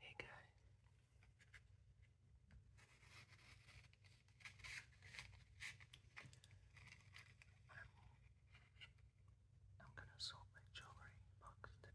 Hey guys. I'm gonna sort my jewelry box today.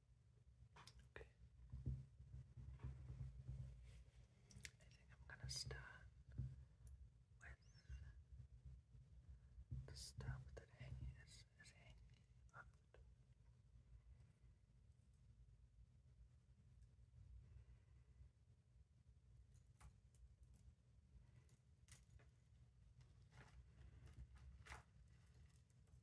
Okay. I think I'm going to start with the stuff that hang is, is hanging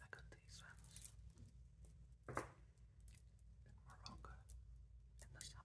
I got these ones Morocco in the summer.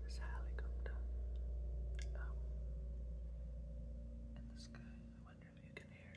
There's helicopter um, in the sky. I wonder if you can hear it.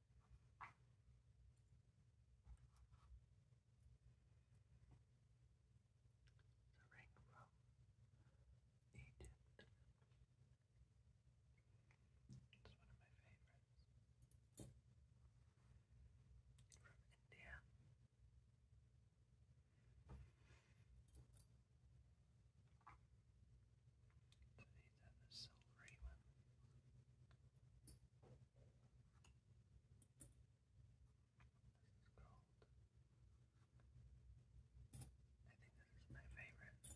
The ring from Egypt. It's one of my favorites. From India. To the than the one. I think this is my favorite ring from India. What's next?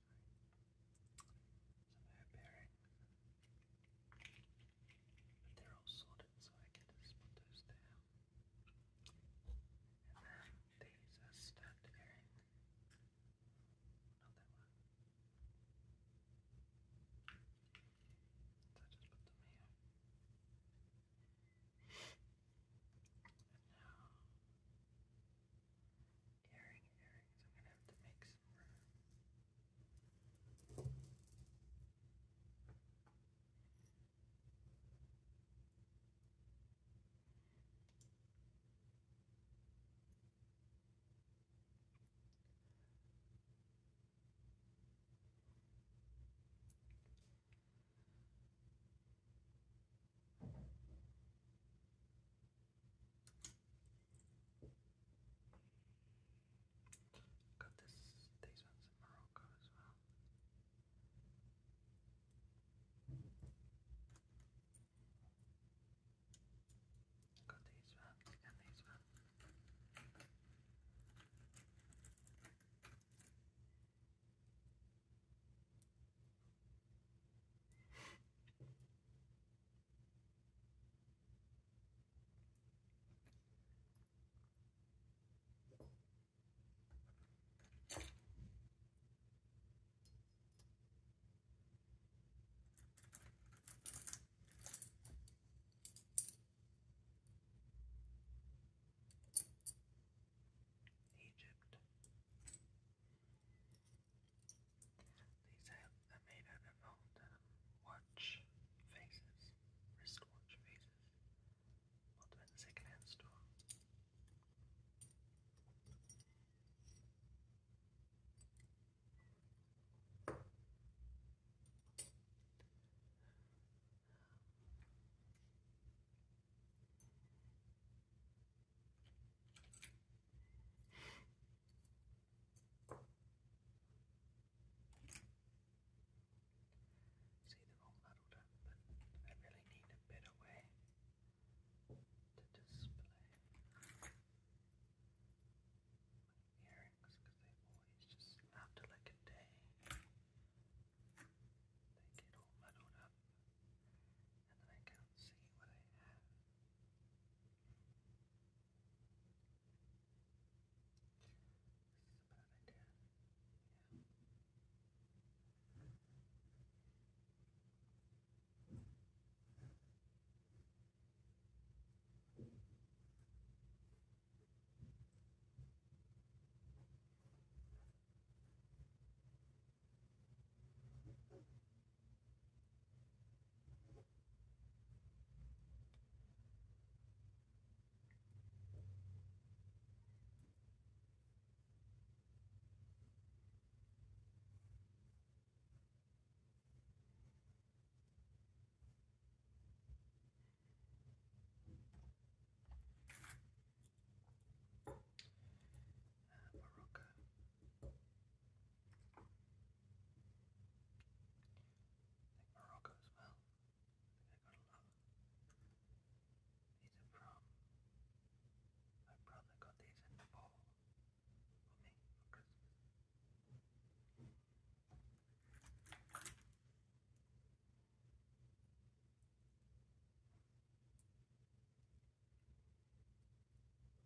some hair bearing. But they're all sorted, so I get to split those down. And then these are stacked bearing. Not one. So I just put them here. And now, earring earrings. I'm gonna have to make some room. Got this, these ones in Morocco as well. Got these ones and these ones. Egypt. These are made out of old uh, watch faces, wristwatch faces, bought them the second-hand See, they're all but I really need a better way to display my earrings because they always just, after like a day, they get all muddled up and then I can't see what I have. This is a bad idea. Yeah. Okay. Morocco. I think Morocco as well. I got a lot. These are from my brother got these in Nepal for me for Christmas.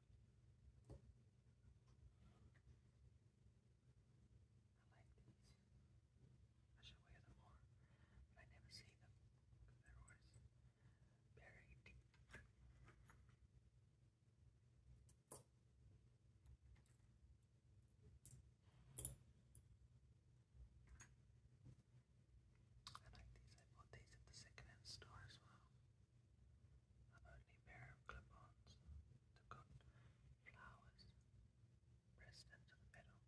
I like these. I should wear them more, I never see them they're always buried. I like these. I bought these at the 2nd store as well a only pair of clip-ons that flowers pressed into the middle.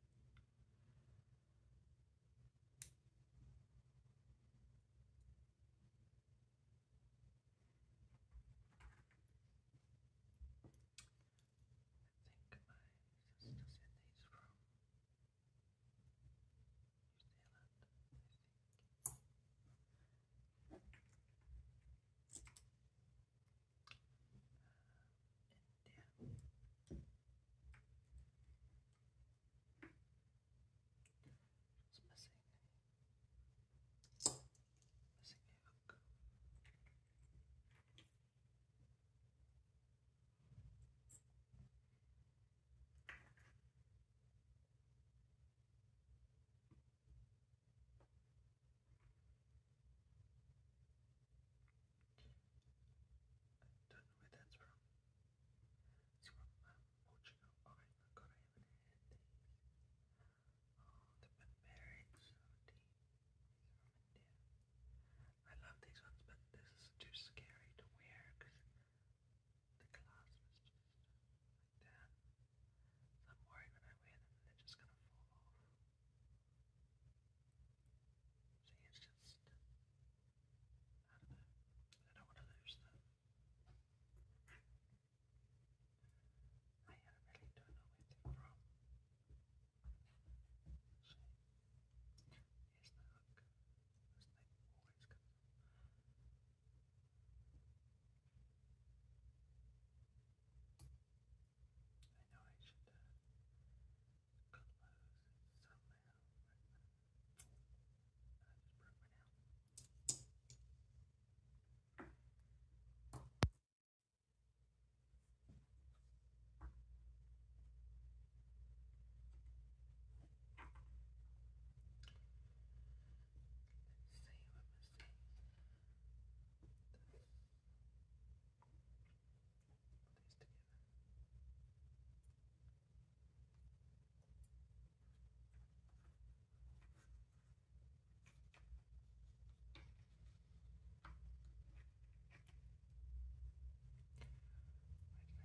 I think my sister sent these from I think. Uh, India. It's missing a, missing a hook don't know where that's from. It's from Portugal, Ireland, i got it Oh, the barbaric I love these ones, but this is too scary to wear because the clasp is just like that. I'm worried when I wear them they're just gonna fall off. See, it's just, I don't know, I don't want to lose them. I really don't know where they're from. So, here's the hook. This always comes off. I know I should uh, close somehow, but I just broke my nail. Uh, Let's see what was this. Put these together. Right now,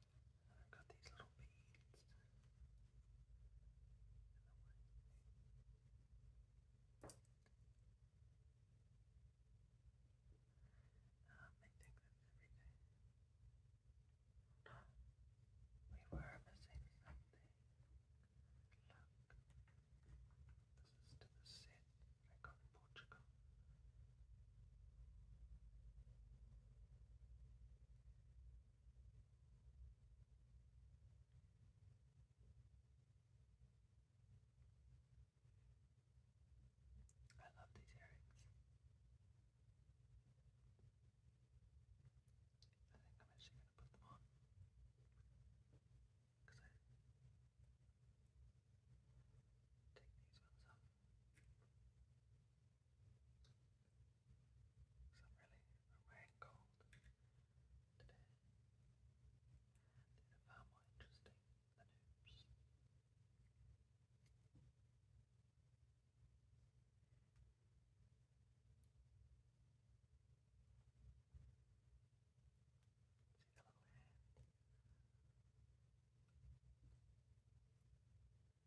And I've got these little beads in the way. Um, I think that's everything. Oh, we were missing something. Look. This is to the set I got in Portugal. I love these earrings. I think I'm actually going to put them on. Because I take these ones off. So I'm really, i cold today. And I found more interesting than hoops. See the little hand. Okay.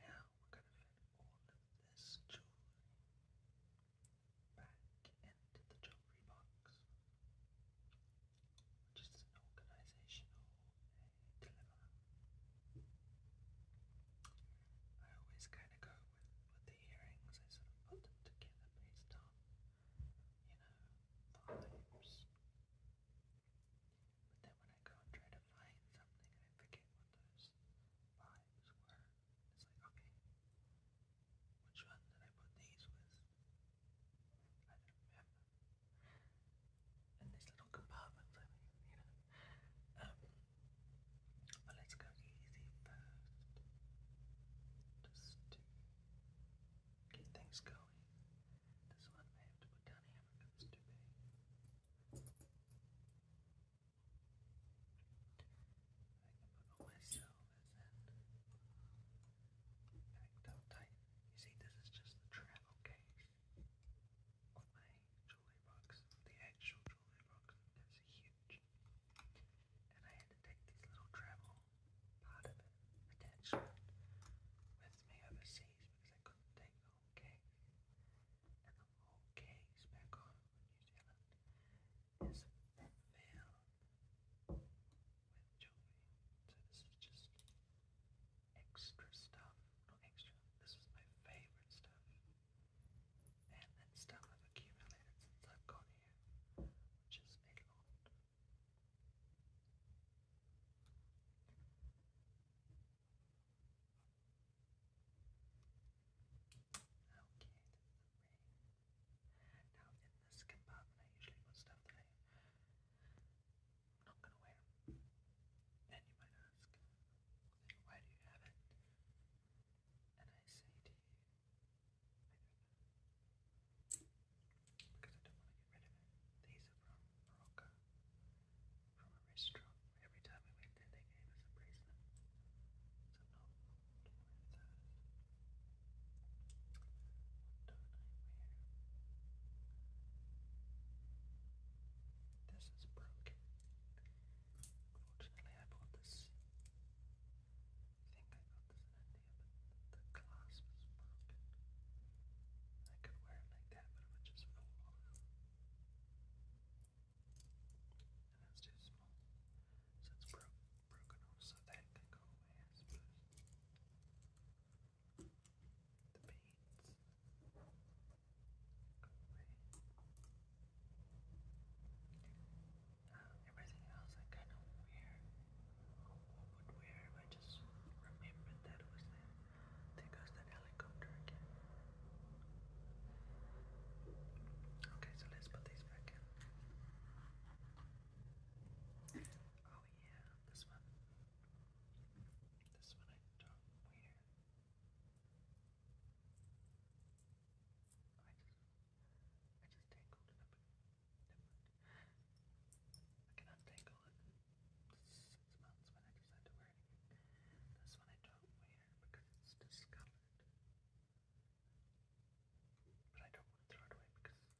Now we're going to fit all of this jewelry back into the jewelry box, which an organizational uh, deliverer. I always kind of go with, the earrings, I sort of put them together based on, you know, vibes. But then when I go and try to find something, I forget what those vibes were. It's like, okay, which one did I put these with? I don't remember. And these little compartments, I mean, you know. Um, but let's go easy first. Just get things going. This one may have to put down here because it's I can put all my in. Packed up tight. You see, this is just the travel case. With my jewelry box, the actual jewelry box, is huge. And I had to take this little travel part of it, attachment, with me overseas because I couldn't take the case. And the whole case back home New Zealand is filled with jewelry. So this is just extra stuff. Not extra. This is my favorite stuff and stuff I've accumulated since I've gone here, which is a lot. Okay, ring. Now in this compartment I usually put stuff that I'm not going to wear. And you might ask, why do you have it? And I say to you, because I don't want to get rid of it. These are from Morocco, from a restaurant. Every time we went there, they gave us a bracelet. So i What do I wear? This is broken. Unfortunately, I bought this. I think I got this in India, the clasp is broken. I could wear it like that, but it would just fall off. And it's too small. So it's bro broken off, that can go away, I suppose. The beads. Uh, everything else I kind of wear, would wear if I just remembered that it was there. There that helicopter again. Okay, so let's put these back in. Oh yeah, this one. This one I don't wear. I just, I just tangled it up. I can untangle it in months when I decide to wear it This one I don't wear because it's discolored. But I don't want to throw it away because um,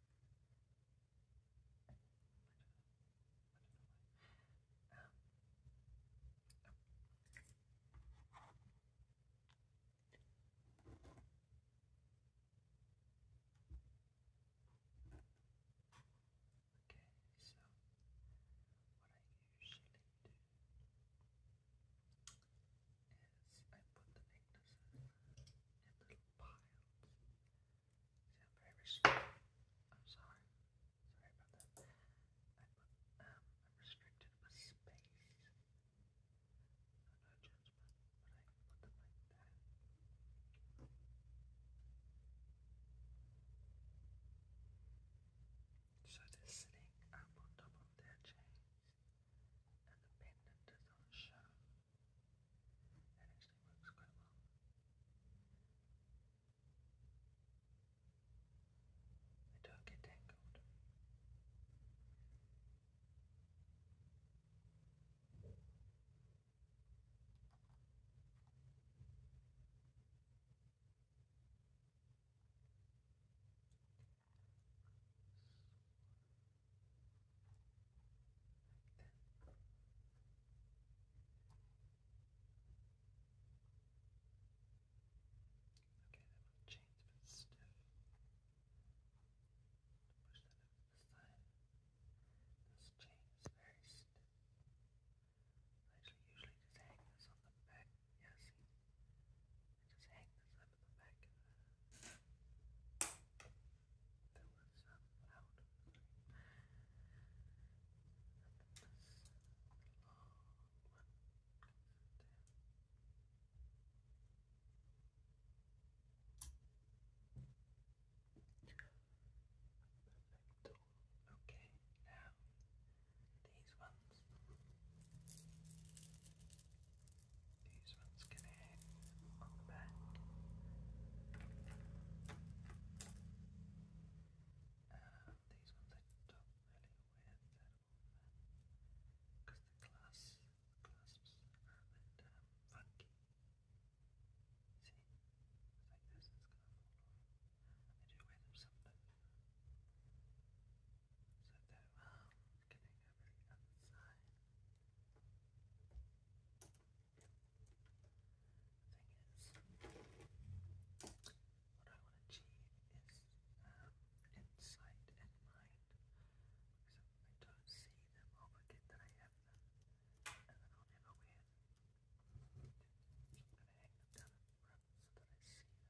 Okay, so what I usually do is I put the necklaces in little piles. See, i very restrained. I'm sorry. Sorry about that. Um, I'm, restricted with space. No, no judgment, but I put them like that. So they're sitting up on top of their chains, and the pendant does not show. That actually works quite well. I don't get tangled. Okay, that chain's a bit stiff. Push that up to side. This chain is very stiff. usually just hang this on the back. Yeah, see? just hang this up the back. That was um, loud. Sorry. And then long one. Perfect. Okay, now these ones. These ones can on the back. these ones I don't really wear that because the clasps, clasps are a bit funky. See, it's like this, it's going to fall off. I do wear them sometimes. So there, well, getting over the The thing is, what I want to achieve is um, insight and mind. So I don't see them, I'll forget that I have them, and then I'll never wear I'm going to hang them down in front so that I see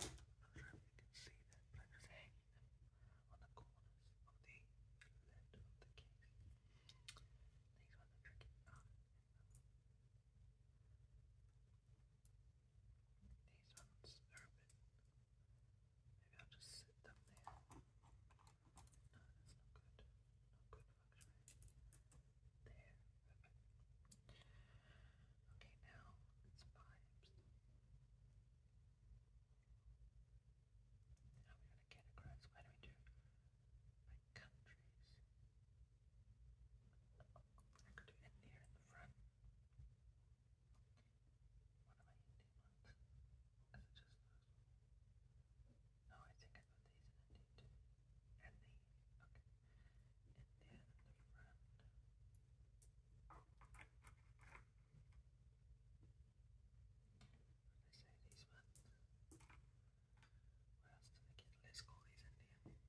them. I'm not sure if you can see them, but I'm just hanging them on the corners of the lid of the case. These ones are tricky. Oh, these ones are a bit. Maybe I'll just sit them there. No, that's not good. Not good There. Okay, now it's vibes. Now we're gonna get across. Why do we do? neighbouring countries. I could do India in the front. What am I Indian Is it just those? No, I think I put these in India too. And these. Okay. India in the front. What I say these ones? What else did I get? Let's call these Indian.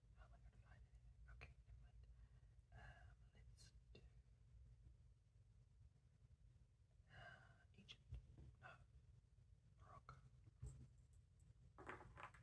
how am Okay, let's do. Egypt. No. Morocco. Morocco. Morocco.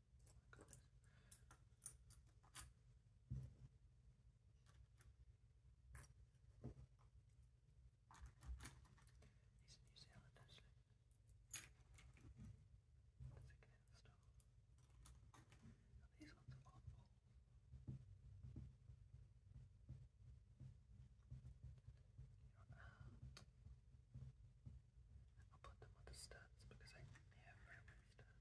He's in New Zealand actually. That's it in the store. Now these ones are awful. You know, uh, I'll put them with the studs because I have very many studs.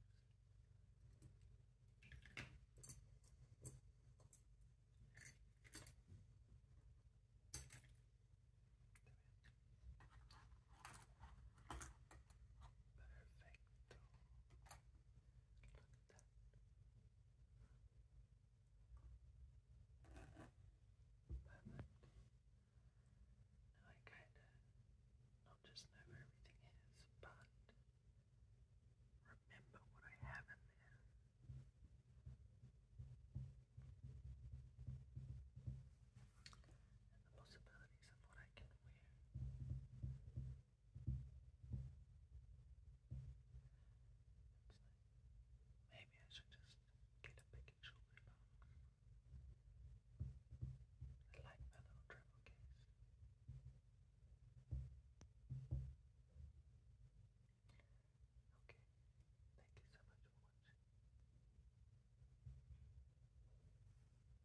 Perfecto. I kinda not just know where everything is, but remember what I have in And the possibilities of what I can wear. maybe I should just get a big shoulder box. I like my case. Okay, thank you so much for watching.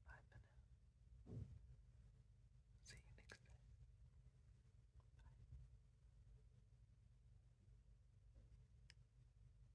Bye for now. See you next time. Bye.